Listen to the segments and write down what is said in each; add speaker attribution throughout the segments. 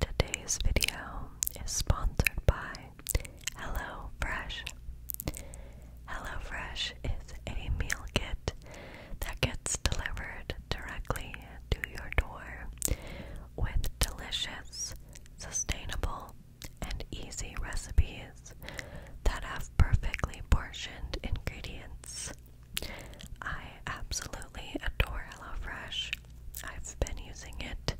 Speaker 1: Today's video is sponsored by HelloFresh. HelloFresh is a meal kit that gets delivered directly to your door with delicious, sustainable, and easy recipes that have perfectly portioned ingredients. I absolutely adore HelloFresh. I've been using it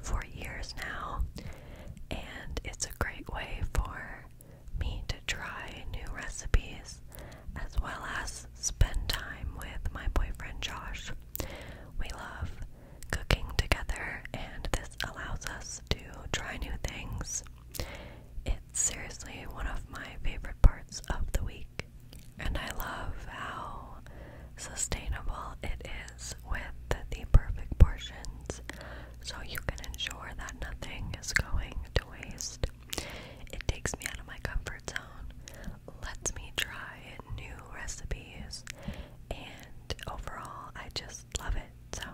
Speaker 1: for years now, and it's a great way for me to try new recipes as well as spend time with my boyfriend Josh. We love cooking together, and this allows us to try new things. It's seriously one of my favorite parts of the week. And I love how sustainable it is with the perfect portions so you can ensure that nothing is going to waste. It takes me out of my comfort zone, lets me try new recipes, and overall, I just love it. So,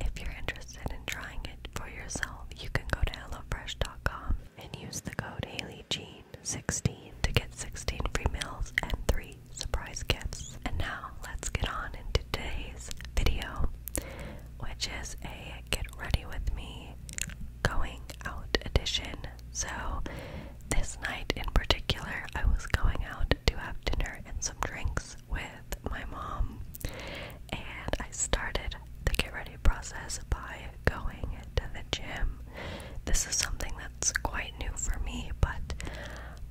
Speaker 1: if you're interested in trying it for yourself, you can go to HelloFresh.com and use the code HaleyJean16 to get 16 free meals and 3 surprise gifts. And now let's get on into today's video, which is a get ready with me going out edition. So this night in particular, I was going out to have dinner and some drinks with my mom, and I started the get ready process by going to the gym. This is something that's quite new for me, but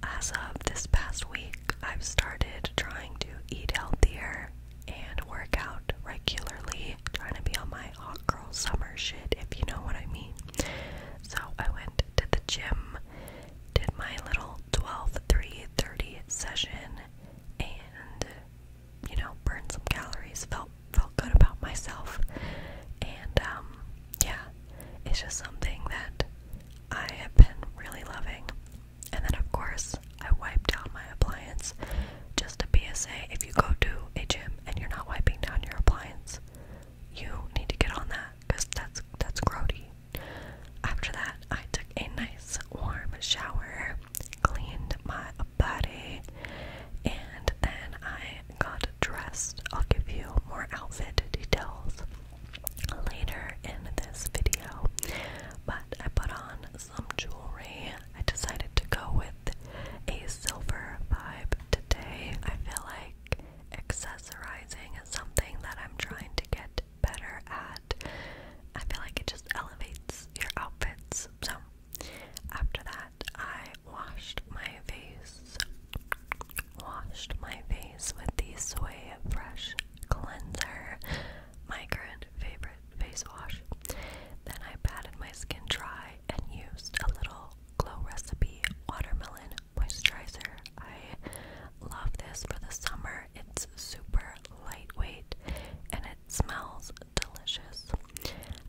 Speaker 1: as of this past week, I've started trying to eat healthier and work out regularly, trying to be on my hot girl summer shit, if you know what I mean. So I went to the gym, did my little 12 3 30 session, and you know, burned some calories, felt felt good about myself. And um, yeah, it's just something that I have been really loving. And then of course I wiped down my appliance. Just a PSA, if you go to a gym and you're not wiping down your appliance, you need to get on that because that's that's grody. After that, I took a nice warm shower cleaned my body, and then I got dressed. I'll give you more outfit details later in this video, but I put on some jewelry. I decided to go with a silver vibe today. I feel like accessorizing is something that I'm trying to get better at. I feel like it just elevates your outfits. So, after that, I washed my face. Washed my face with the Soy Fresh Cleanser, my favorite face wash. Then I patted my skin dry and used a little Glow Recipe Watermelon Moisturizer. I Love this for the summer. It's super lightweight and it smells delicious.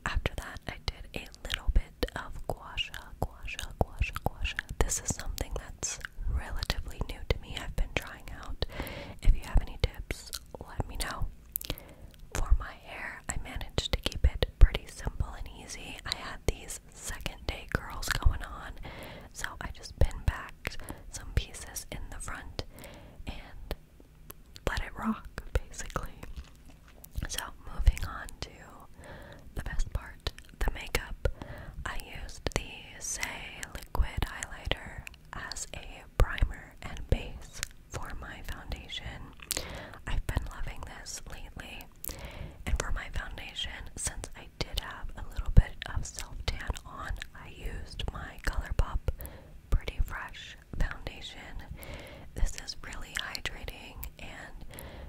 Speaker 1: After that, I did a little bit of guasha, guasha, guasha, guasha. This is something that's relatively new to me. I've been trying out. If you have any tips, let me know. For my hair, I managed to keep it pretty simple and easy. I had these second day curls going on, so I just pin back some pieces in the front and let it rock, basically. So, moving on to the best part the makeup. I used the Say Liquid Highlighter as a primer and base for my foundation. I've been loving this lately. And for my foundation, since I did have a little bit of self tan on, I used my ColourPop Pretty Fresh foundation. This is really hydrating and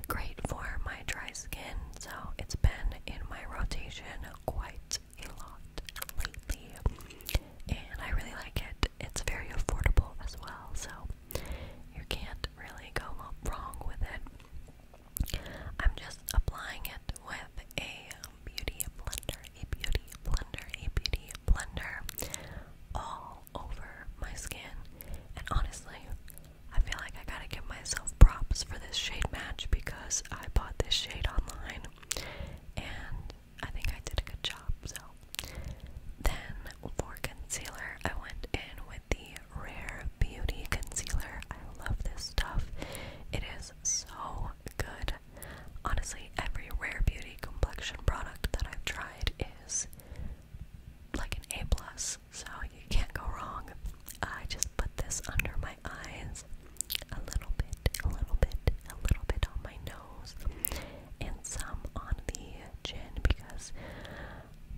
Speaker 1: great for my dry skin, so it's been in my rotation quite a lot lately, and I really like it. It's very affordable as well, so you can't really go wrong with it. I'm just applying it with a beauty blender, a beauty blender, a beauty blender all over my skin. And honestly, I feel like I gotta give myself props for this shade match because I bought this shade online and I think I did a good job. So, then for concealer, I went in with the Rare Beauty Concealer. I love this stuff. It is so good. Honestly, every Rare Beauty complexion product that I've tried is like an A+, plus. so you can't go wrong. I just put this under my eyes, a little bit, a little bit, a little bit on my nose, and some on the chin because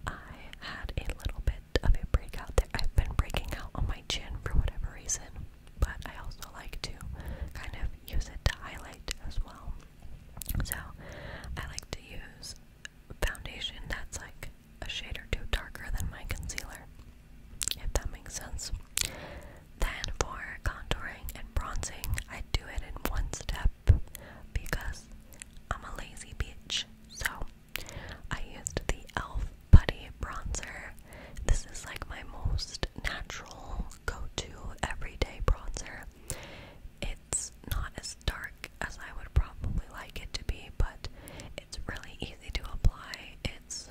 Speaker 1: I had a little bit bit breakout there. I've been breaking out on my chin for whatever reason, but I also like to kind of use it to highlight as well. So I like to use foundation that's like a shade or two darker than my concealer, if that makes sense. Then for contouring and bronzing, I do it in one step because I'm a lazy bitch. So I used the e.l.f. Putty Bronzer. This is like my most natural go-to everyday bronzer. It's not as dark as I would probably like it to be, but it's really easy to apply. It's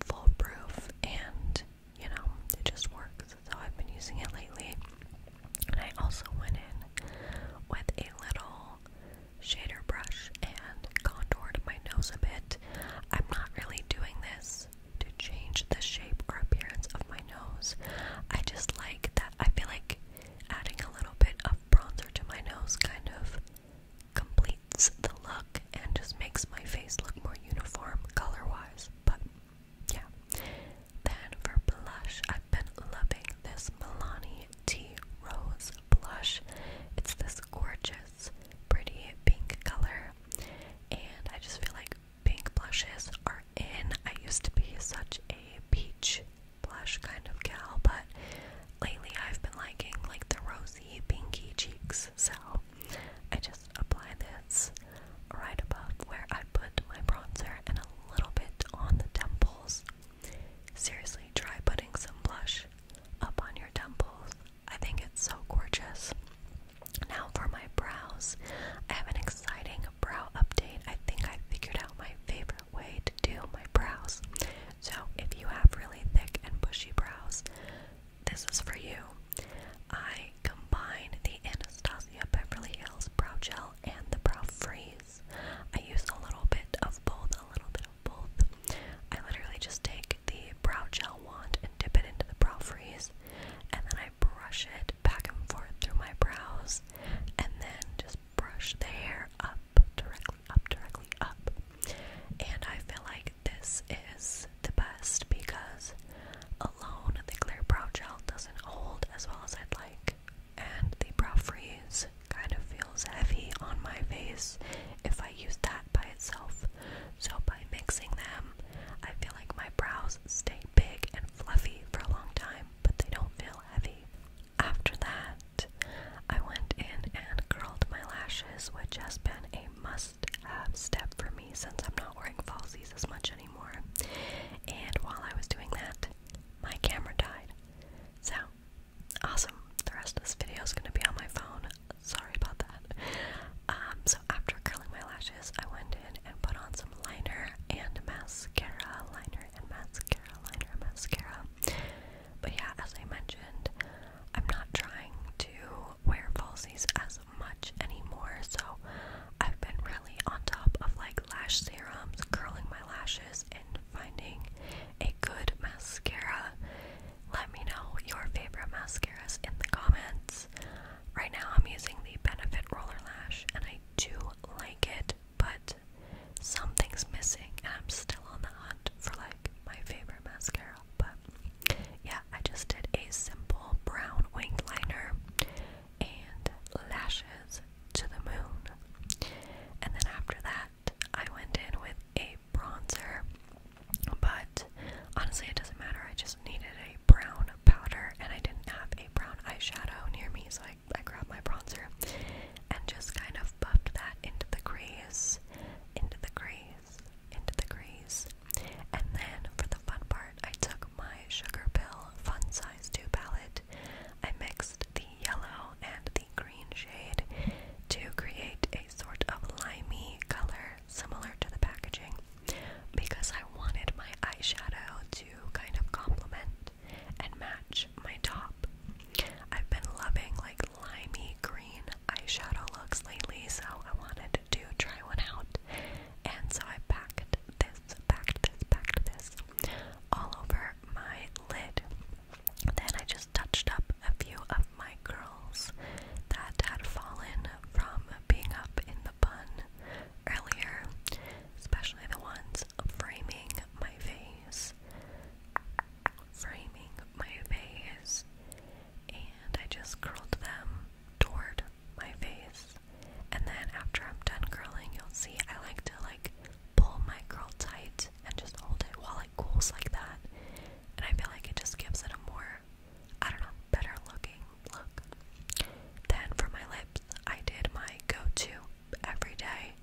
Speaker 1: foolproof and, you know, it just works. So I've been using it lately. And I also went in with a little shader brush and contoured my nose a bit. I'm not really doing this to change the shape or appearance of my nose. I just like that. I feel like adding a little bit of bronzer to my nose kind of completes the look and just makes my face look more uniform color wise. But yeah. Then for blush, I've been loving this Milani T Rose blush. It's this gorgeous, pretty pink color, and I just feel like pink blushes are in. I used to be such a peach blush kind of gal, but lately I've been liking like the rosy, pinky cheeks, so I just apply this right above where I put my bronzer and a little bit on the temples. Seriously, try putting some blush up on your temples. I think it's so gorgeous. Now for my brows. I have an exciting brow update. I think I figured out my favorite way to do my brows. So if you have really thick and bushy brows, this is for you. I combine the Anastasia Beverly Hills Brow Gel and the Brow Freeze. I use a little bit of both, a little bit of both. I literally just take the brow gel wand and dip it into the brow freeze, and then I brush it back and forth through my brows, and then just brush the hair up, directly up, directly up. And I feel like this is the best because the clear brow gel doesn't hold as well as I'd like, and the brow freeze kind of feels heavy on my face if I use that by itself. So, by mixing them, I feel like my brows stay big and fluffy for a long time, but they don't feel heavy. After that, I went in and curled my lashes, which has been a must have step for me since I'm not wearing falsies as much anymore. And while I was doing that, my camera died. So, awesome. The rest of this video is going to be on my phone. Sorry about that. Um, so, after curling my lashes, I went in and put on some liner and mascara. Liner and mascara, liner mascara. But yeah, as I mentioned, I'm not trying to wear falsies as much anymore. So I've been really on top of like lash serums, curling my lashes, and finding a good mascara. Let me know your favorite mascaras in the comments. Right now, I'm using the Benefit Roller Lash, and I do like it, but something's missing, and I'm still on the hunt for like my favorite mascara. But yeah, I just did a simple brown winged liner and lashes to the moon. And then after that, I went in with a bronzer. But honestly, it doesn't matter. I just needed a brown powder and I didn't have a brown eyeshadow near me, so I, I grabbed my bronzer and just kind of buffed that into the crease, into the crease, into the crease, and then, for the fun part, I took my Sugar Pill Fun Size 2 palette. I mixed the yellow and the green shade to create a sort of limey color similar to the packaging because I wanted my eyeshadow to kind of complement and match my top. I've been loving like limey green eyeshadow looks lately, so I wanted to try one out. And so I packed this, packed this, packed this all over my lid. Then I just touched up a few of my curls that had fallen from being up in the bun earlier, especially the ones framing my face. Framing my face and I just curled them toward my face. And then after I'm done curling, you'll see I like to like pull my curl tight and just hold it while it cools like that. And I feel like it just gives it a more, I don't know, better looking look. Then for my lips, I did my go to everyday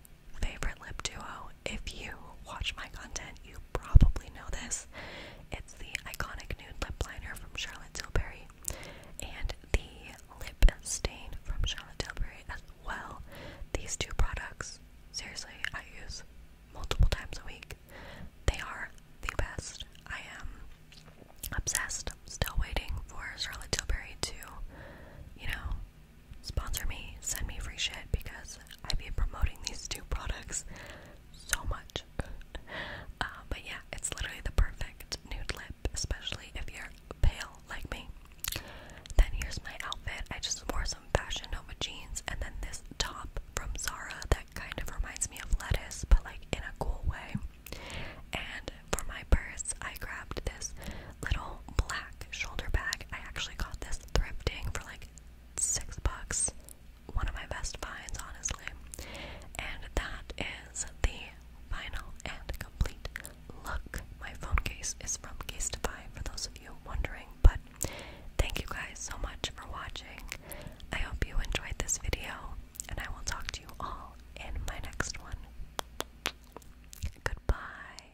Speaker 1: favorite lip duo if you watch my content, you probably know this. It's the iconic nude lip liner from Charlotte Tilbury and the lip stain from Charlotte Tilbury as well. These two products, seriously, I use multiple times a week. They are the best. I am obsessed. I'm Still waiting for Charlotte Tilbury to, you know, sponsor me, send me free shit because I've been promoting these two products so much. Uh, but yeah, it's literally the perfect nude lip, especially if you're pale like me. Then here's my outfit. I just wore some Fashion Nova jeans and then this top from Zara that kind of reminds me of lettuce, but like in a cool way. And for my purse, I grabbed this little black shoulder bag. I actually got this thrifting for like six bucks. One of my best finds, honestly. And that is the final and complete look. My phone case is from Casetify for those of you wondering, but thank you guys so much for watching. I hope you enjoyed this video, and I will talk to you all in my next one. Goodbye.